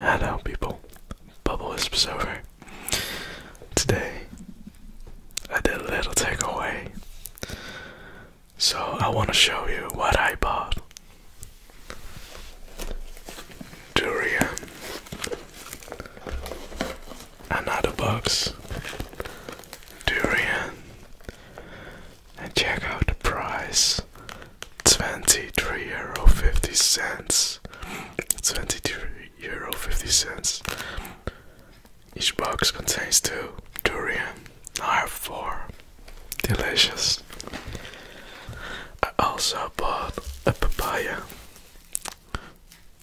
Hello people, Bubble Wisps over. Today, I did a little takeaway. So I want to show you what I bought. Durian. Another box. Durian. And check out the price. 23 euro 50 cents 23 euro 50 cents each box contains two durian i have four delicious i also bought a papaya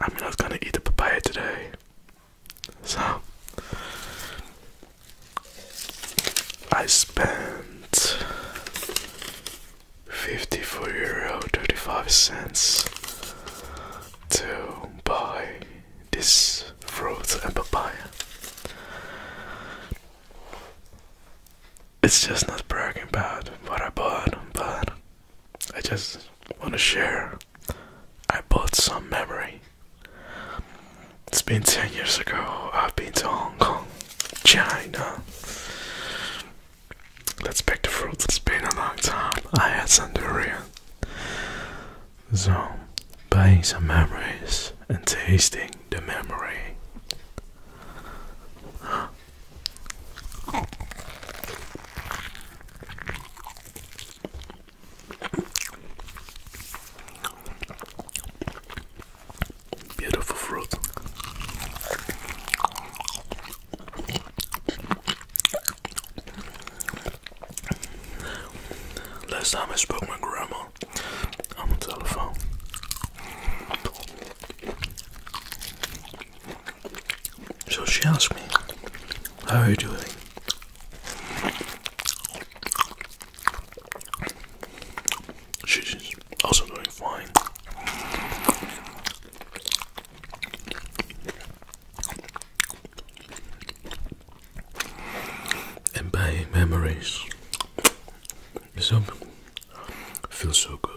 i'm not gonna eat the papaya today so I spent 54 euro 35 cents to buy this fruit and papaya. It's just not bragging about what I bought, but I just want to share. I bought some memory. It's been 10 years ago. I've been to Hong Kong, China. Let's pick the fruits. It's been a long time. I had some So, buying some memories and tasting the memory. Beautiful fruit. Last time I spoke to my grandma on the telephone. So she asked me, How are you doing? She's also doing fine. And by memories, this feels so good.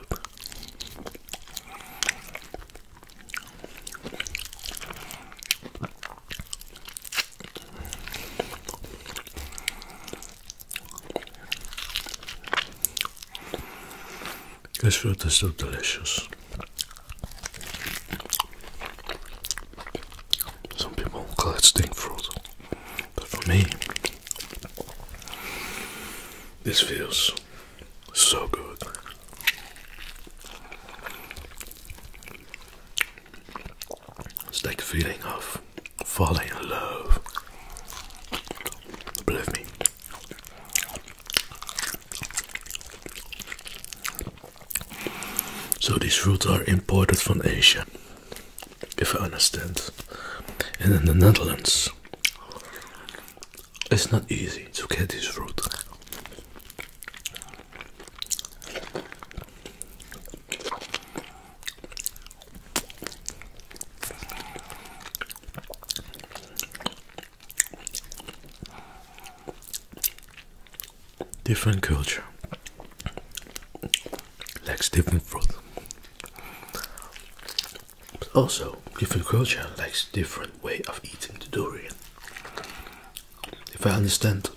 This fruit is so delicious. Some people call it stink fruit, but for me, this feels so good. It's like the feeling of falling in love. Believe me. So these fruits are imported from Asia, if I understand. And in the Netherlands, it's not easy to get these fruit. Different culture likes different food. also, different culture likes different way of eating the durian if I understand,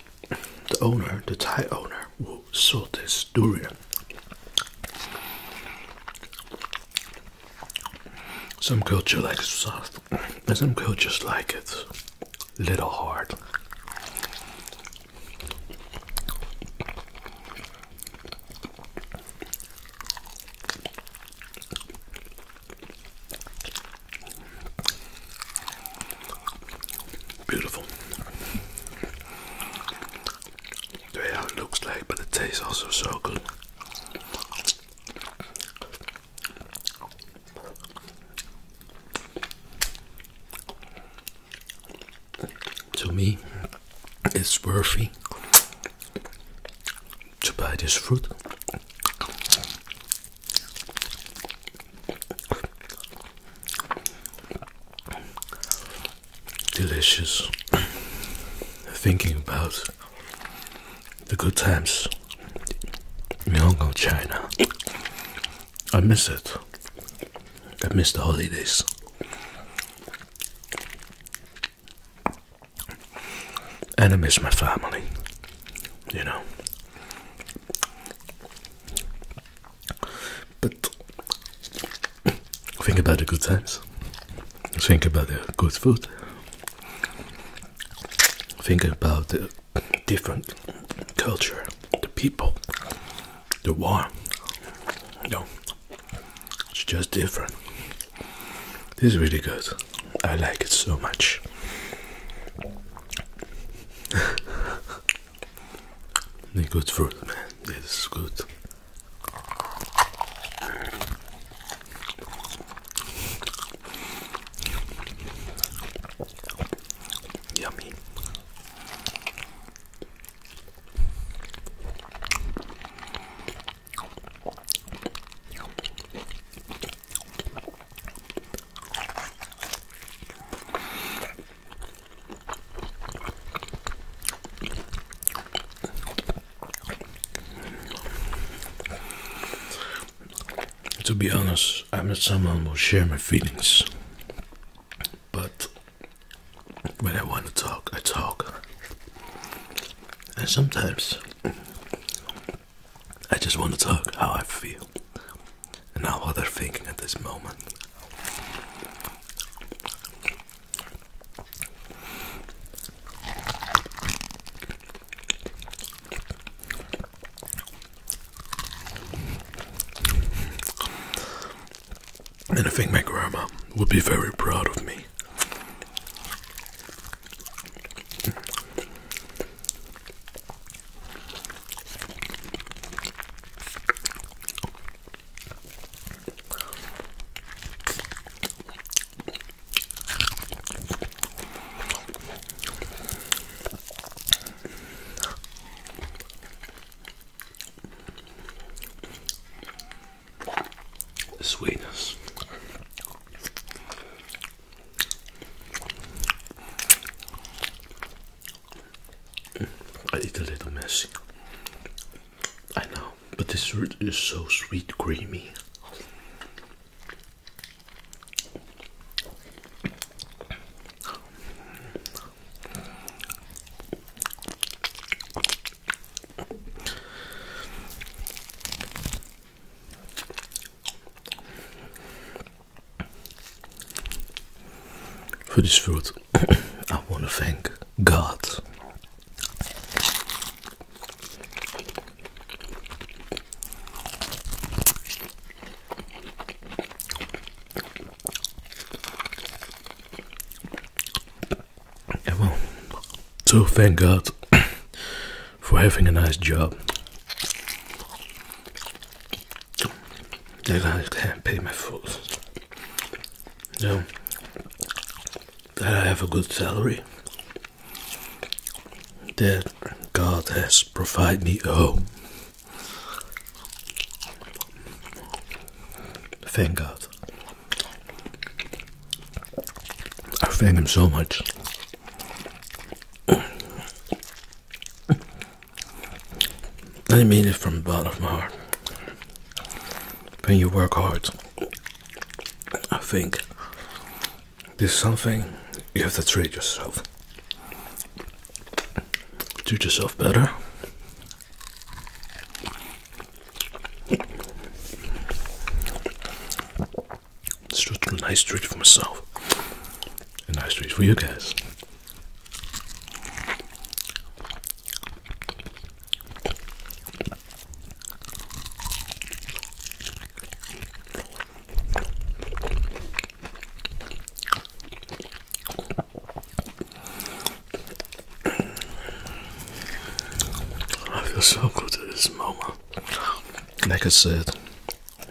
the owner, the Thai owner, will saw this durian, some culture like it soft, and some cultures like it little hard. Beautiful. The way it looks like, but it tastes also so good. To me, it's worthy to buy this fruit. Delicious. Thinking about the good times in Hong Kong, China. I miss it. I miss the holidays. And I miss my family, you know. But think about the good times, think about the good food, think about the different culture, the people, the war. You know, it's just different. This is really good. I like it so much. the good fruit, man. This is good. Yummy. To be honest, I'm not someone who share my feelings, but when I want to talk, I talk. And sometimes I just want to talk how I feel and how they're thinking at this moment. And I think my grandma would be very proud of me the sweetness. I eat a little messy. I know, but this root is so sweet, creamy. For this fruit, I want to thank God well, so thank God for having a nice job. That I can pay my bills. Yeah. That I have a good salary. That God has provided me a home. Thank God. I thank him so much. I mean it from the bottom of my heart. When you work hard, I think there's something you have to treat yourself. Treat yourself better. It's just a nice treat for myself, a nice treat for you guys. I feel so good at this moment. Like I said,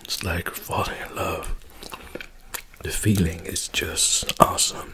it's like falling in love. The feeling is just awesome.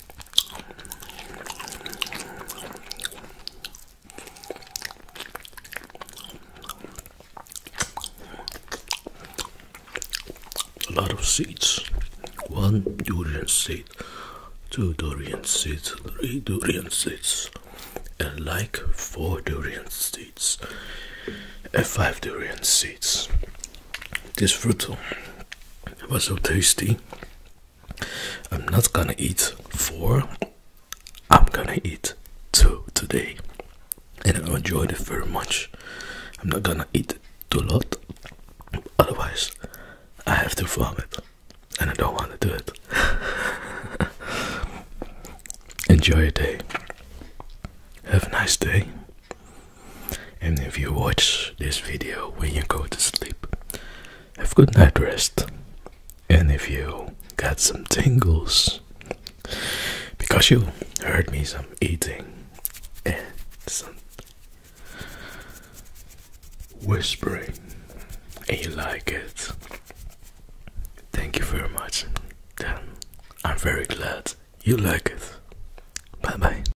A lot of seeds. One durian seed, two durian seeds, three durian seeds, and like four durian seeds, and five durian seeds. This fruit was so tasty I'm not gonna eat four, I'm gonna eat two today, and I enjoyed it very much. I'm not gonna eat too lot, otherwise, I have to vomit, and I don't want to do it. Enjoy your day, have a nice day, and if you watch this video when you go to sleep, have good night rest. And if you got some tingles, because you heard me some eating and some whispering, and you like it, thank you very much. I'm very glad you like it. Bye bye.